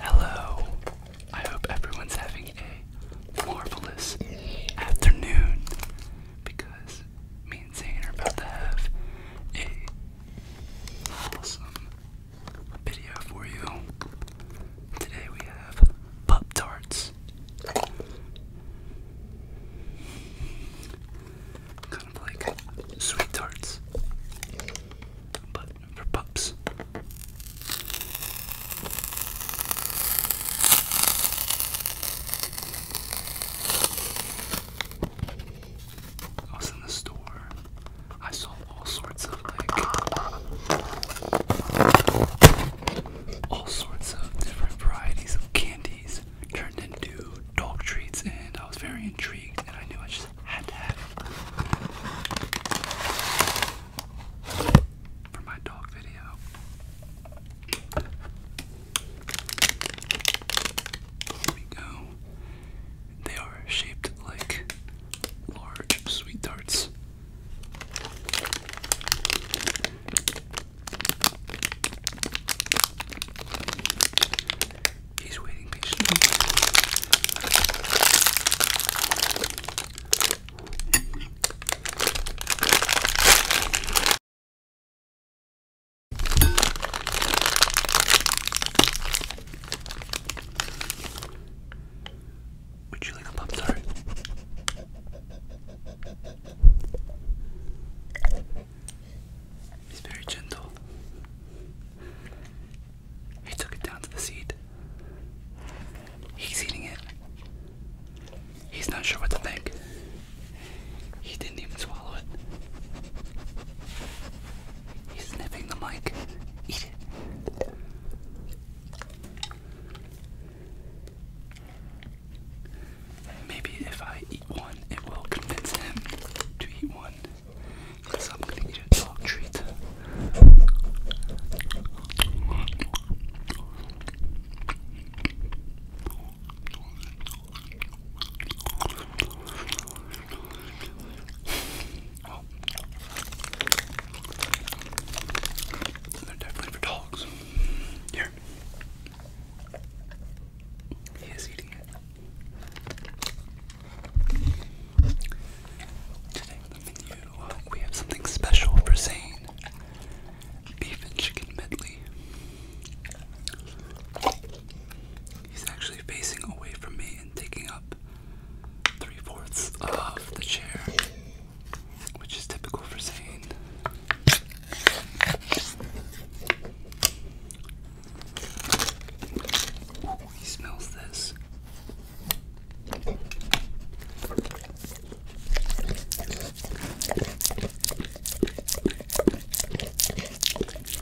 Hello. I hope everyone's having a marvelous afternoon because me and Zane are about to have a awesome video for you. Today we have Pop Tarts. Kind of like sweet tarts, but for pups. I was in the store. I saw all sorts of like all sorts of different varieties of candies turned into dog treats, and I was very intrigued, and I knew I just had to have it for my dog video. Here we go. They are shaped like large sweet tarts. He's waiting patiently. We're chewing a pop tart. He's very gentle. He took it down to the seat. He's eating it. He's not sure what to think. He didn't even swallow it. He's nipping the mic. Eat it. Maybe if I eat one, it will convince him to eat one. Because I'm gonna eat a dog treat they're definitely for dogs. Here. He is eating it. Today on the menu, we have something special for Zane. Beef and chicken medley. He's actually facing away from me and taking up three fourths of the chair, which is typical for Zane. he smells this. Here, here,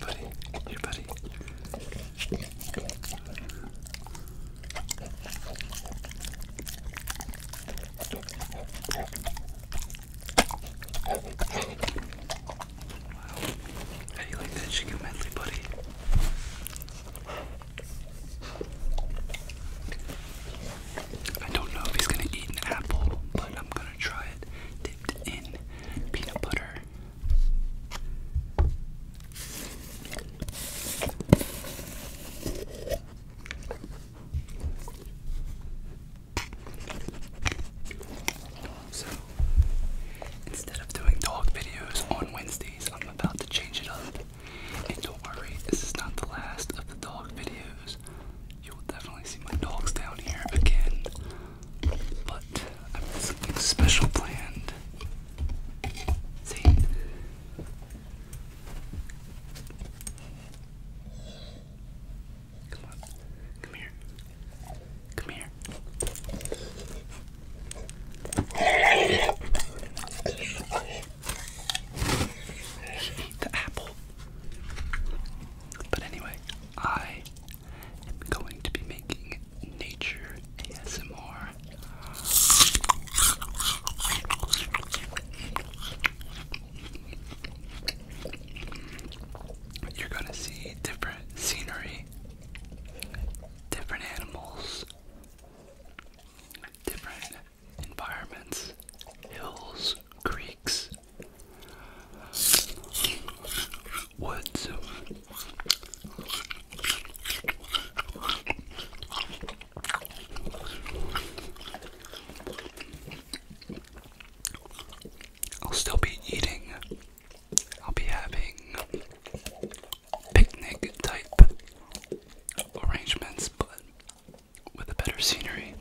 buddy. Here, buddy. How you like that chicken medley, buddy? I don't know if he's gonna eat an apple, but I'm gonna try it dipped in peanut butter. So, instead of doing dog videos on Wednesdays, I'm about to change it up. And don't worry, this is not the last of the dog videos. You will definitely see my dogs down here again. But I've got something special planned. See? Come on. Come here. Come here. Eat the apple. But anyway, I am going to be making nature ASMR. You're gonna see different scenery, different animals, different environments, hills, creeks, woods. I'll still be eating. I'll be having picnic type arrangements, but with a better scenery.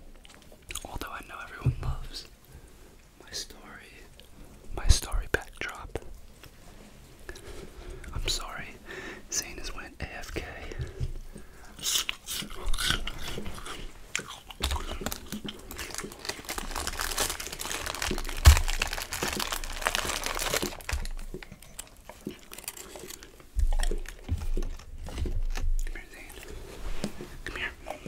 Although I know everyone loves my story, my story backdrop. I'm sorry, Zane is went AFK. Come here, Come here.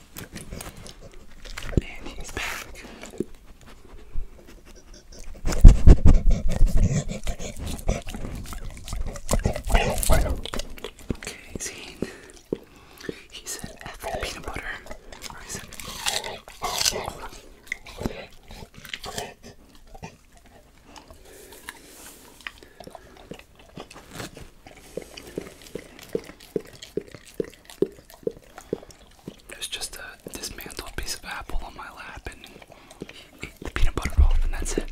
And he's back. Okay, see, he said after the peanut butter, or he said, oh. There's just a dismantled piece of apple on my lap and ate the peanut butter off, and that's it.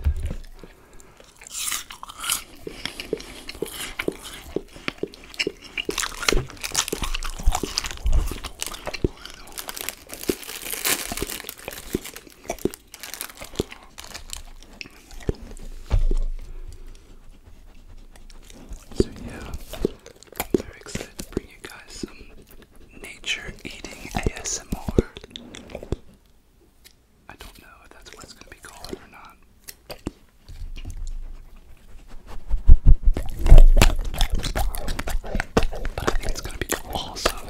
So yeah, I'm very excited to bring you guys some nature eating ASMR. I don't know if that's what it's gonna be called or not. But I think it's gonna be awesome.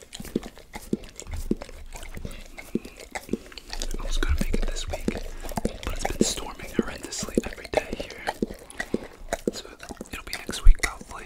I was gonna make it this week, but it's been storming horrendously every day here. So it'll be next week probably.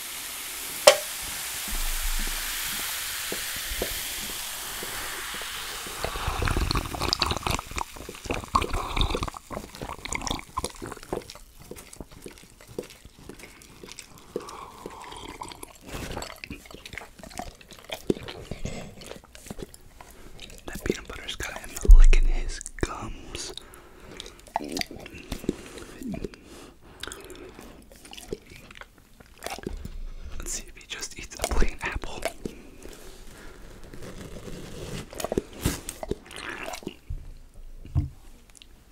That peanut butter's got him licking his gums. Let's see if he just eats a plain apple.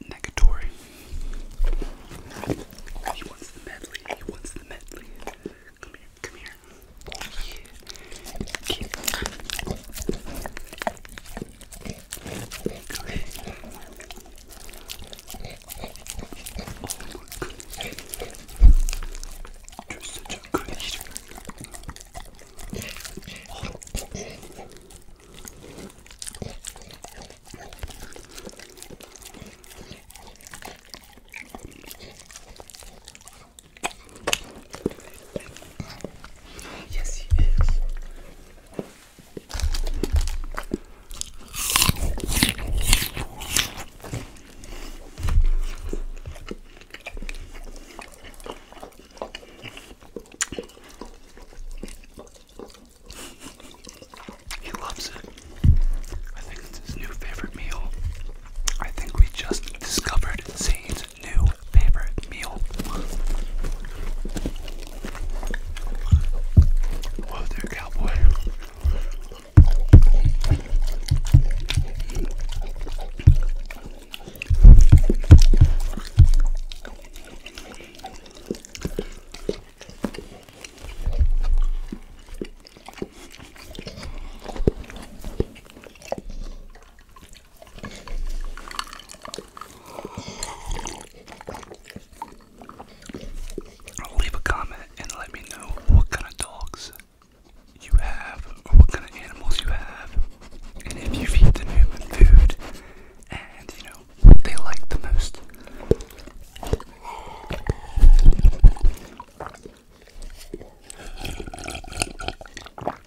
Negatory. he wants the medley. He wants the medley. Come here. Come here. You're such a good eater. Oh. Yes, he is. He loves it. I think it's his new favorite meal. I think we just discovered Zane's new favorite meal. Whoa there, cowboy. Leave a comment and let me know what kind of dogs you have or what kind of animals you have and if you feed them human food and you know what they like the most.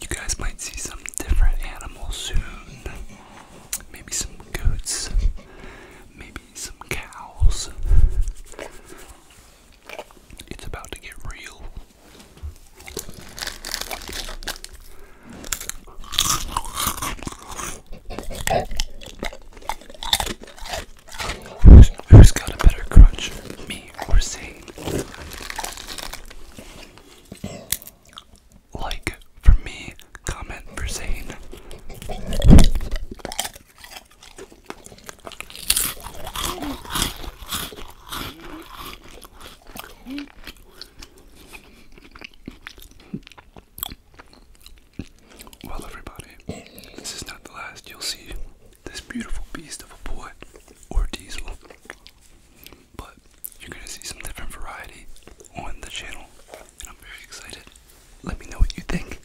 you guys might see some different animals soon. Maybe some goats, maybe some cows. It's about to get real. who's got a better crunch? like for me, comment for saying Well, everybody, this is not the last you'll see this beautiful beast of a boy or diesel, but you're gonna see some different variety on the channel, and I'm very excited. Let me know what you think.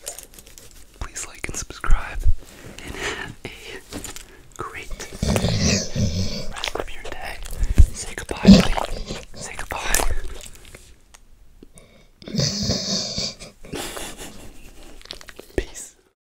Please like and subscribe, and have a great rest of your day. Say goodbye, buddy. Say goodbye. Peace.